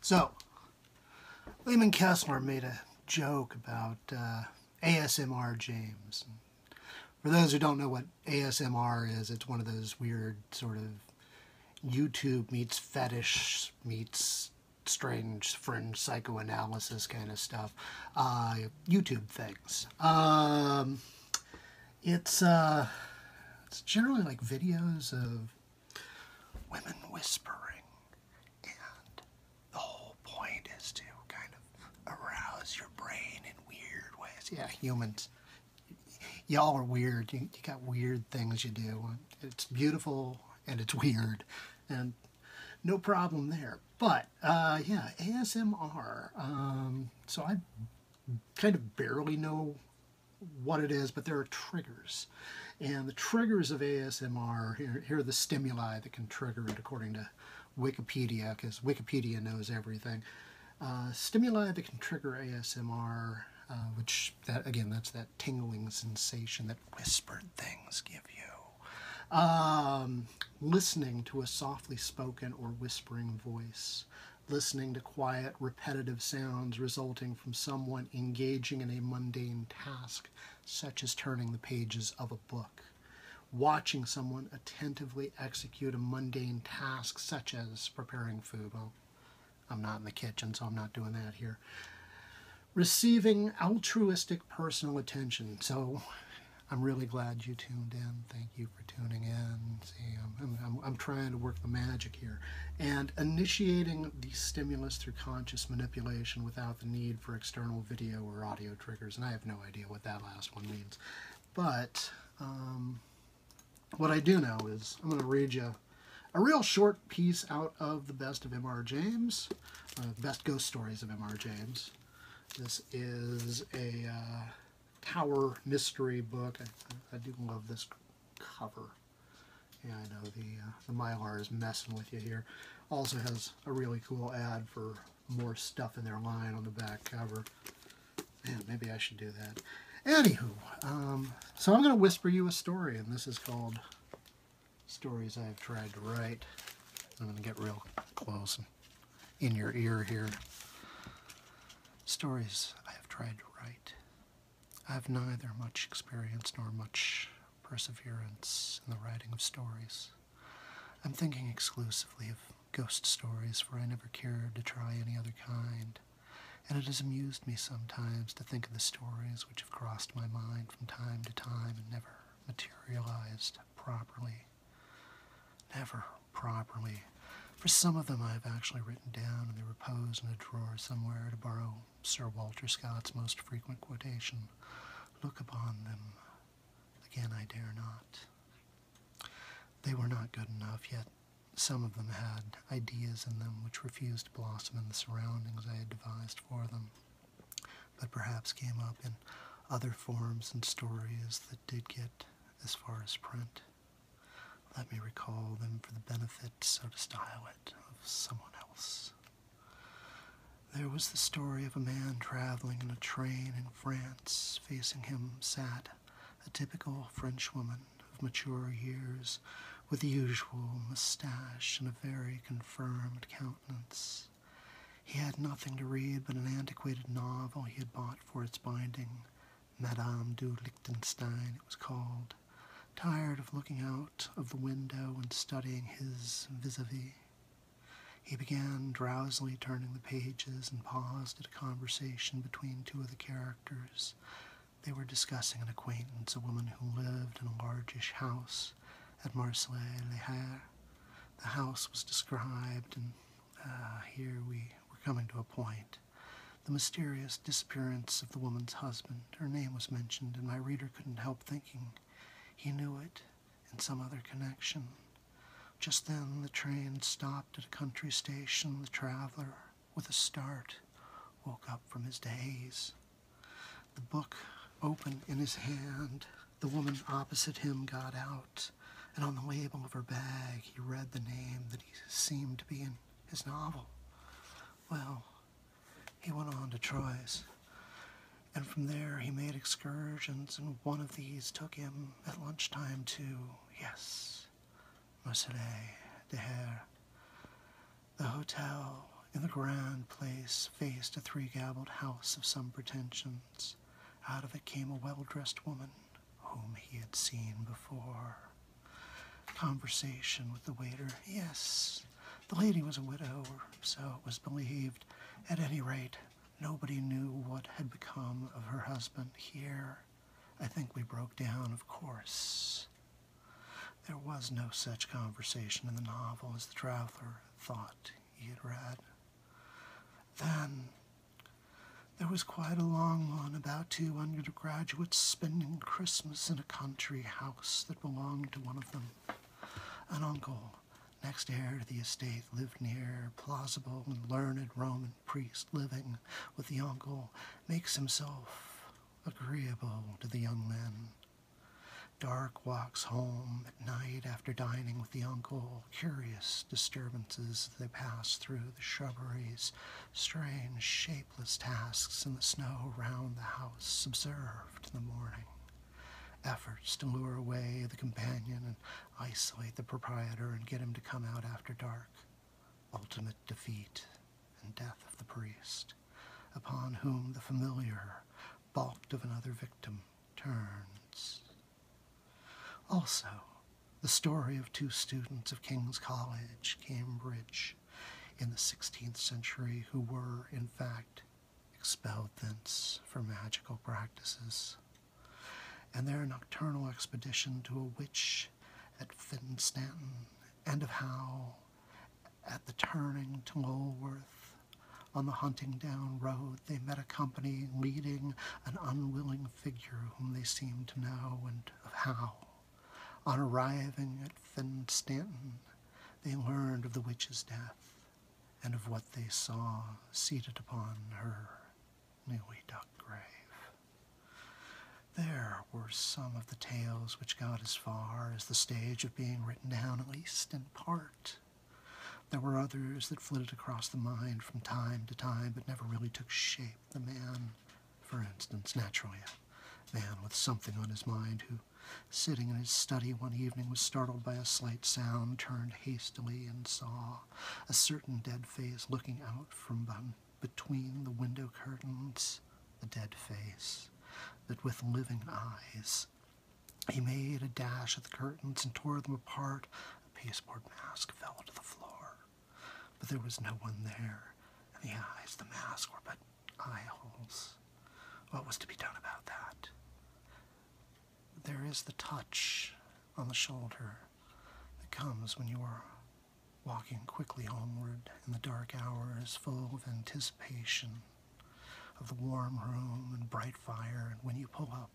So, Lehman Kessler made a joke about uh, ASMR James. For those who don't know what ASMR is, it's one of those weird sort of YouTube meets fetish meets strange fringe psychoanalysis kind of stuff. YouTube things. Um, it's uh, it's generally like videos of women whispering, and the whole point is to kind of arouse your brain in weird ways. Yeah, humans, y'all are weird. You, you got weird things you do. It's beautiful and it's weird, and no problem there. But uh, yeah, ASMR. Um, so I kind of barely know what it is, but there are triggers. And the triggers of ASMR, here, here are the stimuli that can trigger it according to Wikipedia, because Wikipedia knows everything. Uh, stimuli that can trigger ASMR, uh, which, that again, that's that tingling sensation that whispered things give you. Um, listening to a softly spoken or whispering voice, listening to quiet, repetitive sounds resulting from someone engaging in a mundane task, such as turning the pages of a book, watching someone attentively execute a mundane task, such as preparing food. Well, I'm not in the kitchen, so I'm not doing that here receiving altruistic personal attention. So I'm really glad you tuned in. Thank you for tuning in. See, I'm, I'm, trying to work the magic here. And initiating the stimulus through conscious manipulation without the need for external video or audio triggers. And I have no idea what that last one means. But um, what I do know is I'm going to read you a real short piece out of The Best of Mr. James best ghost stories of M.R. James. This is a uh, tower mystery book. I, do love this cover. Yeah, I know the, uh, the Mylar is messing with you here. Also has a really cool ad for more stuff in their line on the back cover. Man, maybe I should do that. Anywho, um, so I'm going to whisper you a story, and this is called stories I've tried to write. I'm going to get real close in your ear here. Stories I have tried to write. I have neither much experience nor much perseverance in the writing of stories. I'm thinking exclusively of ghost stories, for I never cared to try any other kind, and it has amused me sometimes to think of the stories which have crossed my mind from time to time and never materialized properly. Never properly. For some of them, I've actually written down and they repose in a drawer somewhere to borrow Sir Walter Scott's most frequent quotation Look upon them. Again, I dare not. They were not good enough, yet some of them had ideas in them which refused to blossom in the surroundings I had devised for them but perhaps came up in other forms and stories that did get as far as print. Let me recall them for the benefit, so to style it, of someone else. There was the story of a man traveling in a train in France. Facing him sat a typical Frenchwoman of mature years with the usual moustache and a very confirmed countenance. He had nothing to read but an antiquated novel he had bought for its binding. Madame du Liechtenstein, it was called, tired of looking out of the window and studying his vis a vis. He began drowsily turning the pages and paused at a conversation between two of the characters, they were discussing an acquaintance, a woman who lived in a largish house at Marseilles-les-Hares. The house was described, and uh, here we were coming to a point. The mysterious disappearance of the woman's husband. Her name was mentioned, and my reader couldn't help thinking he knew it in some other connection. Just then the train stopped at a country station. The traveler, with a start, woke up from his daze the book open in his hand. The woman opposite him got out, and on the label of her bag, he read the name that he seemed to be in his novel. Well, he went on to Troyes, and from there he made excursions, and one of these took him at lunchtime to, yes, Marseilles, the Hare, the hotel in the grand place faced a three gabled house of some pretensions. Out of it came a well dressed woman whom he had seen before. Conversation with the waiter. Yes, the lady was a widow, or so it was believed. At any rate, nobody knew what had become of her husband here. I think we broke down, of course. There was no such conversation in the novel as the traveler thought he had read. Then there was quite a long one about two undergraduates spending Christmas in a country house that belonged to one of them. An uncle, next heir to the estate, lived near a plausible and learned Roman priest living with the uncle, makes himself agreeable to the young men. Dark walks home at night after dining with the uncle, curious disturbances they pass through the shrubberies, strange, shapeless tasks in the snow round the house, observed in the morning. Efforts to lure away the companion and isolate the proprietor and get him to come out after dark ultimate defeat and death of the priest, upon whom the familiar, balked of another victim, turns. Also, the story of two students of King's College, Cambridge, in the 16th century who were, in fact, expelled thence for magical practices. And their nocturnal expedition to a witch bridge at Finstanton and of how, at the turning to Lulworth, on the Huntingdon road, they met a company leading an unwilling figure whom they seemed to know, and of how, on arriving at Finstanton, they learned of the witch's death and of what they saw seated upon her newly dug grave. There were some of the tales which got as far as the stage of being written down, at least in part. There were others that flitted across the mind from time to time but never really took shape. The man, for instance, naturally a man with something on his mind who, sitting in his study one evening, was startled by a slight sound, turned hastily, and saw a certain dead face looking out from between the window curtains a dead face that with living eyes he made a dash at the curtains and tore them apart a pasteboard mask fell to the floor but there was no one there and the eyes the mask were but eye holes what was to be done about that there is the touch on the shoulder that comes when you are walking quickly homeward in the dark hours, full of anticipation of the warm room and bright fire, and when you pull up,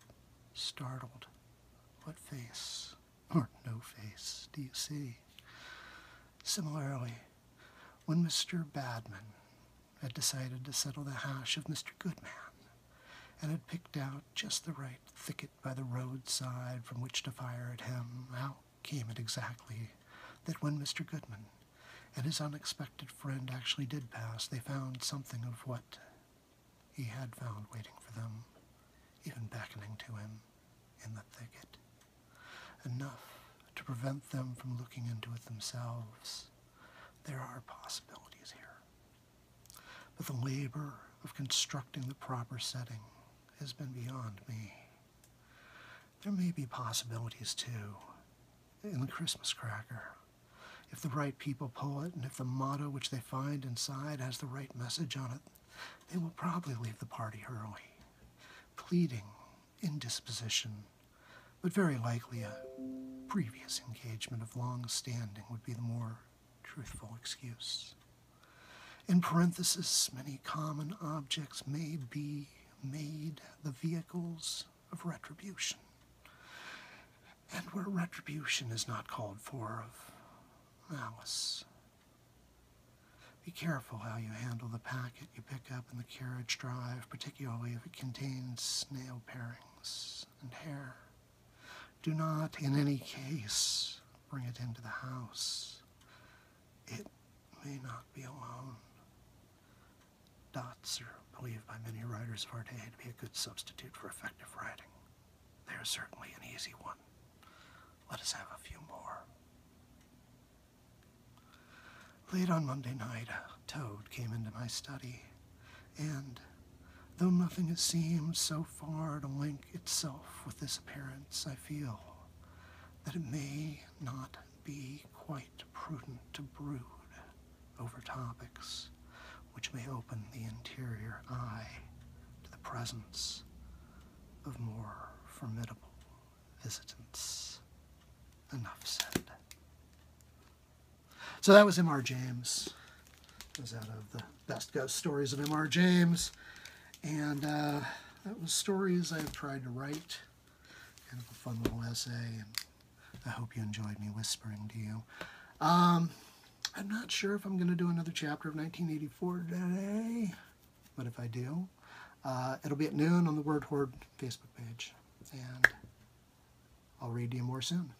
startled, what face or no face do you see? Similarly, when Mr. Badman had decided to settle the hash of Mr. Goodman and had picked out just the right thicket by the roadside from which to fire at him, how came it exactly that when Mr. Goodman and his unexpected friend actually did pass, they found something of what he had found waiting for them, even beckoning to him in the thicket, enough to prevent them from looking into it themselves? There are possibilities here. But the labor of constructing the proper setting has been beyond me. There may be possibilities too in the Christmas cracker. If the right people pull it, and if the motto which they find inside has the right message on it, they will probably leave the party early. Pleading, indisposition, but very likely a previous engagement of long standing would be the more truthful excuse. In parenthesis, many common objects may be made the vehicles of retribution. And where retribution is not called for, of malice. Be careful how you handle the packet you pick up in the carriage drive, particularly if it contains snail parings and hair. Do not in any case bring it into the house. It may not be alone. Dots are believed by many writers of our day to be a good substitute for effective writing. They are certainly an easy one. Let us have a few more. Late on Monday night, a toad came into my study, and Though nothing has seemed so far to link itself with this appearance, I feel that it may not be quite prudent to brood over topics which may open the interior eye to the presence of more formidable visitants. Enough said. So that was Mr. James. was out of the Best Ghost Stories of M.R. James. And uh, that was stories I've tried to write. Kind of a fun little essay, and I hope you enjoyed me whispering to you. Um, I'm not sure if I'm going to do another chapter of 1984 today, but if I do, uh, it'll be at noon on the Word Horde Facebook page. And I'll read to you more soon.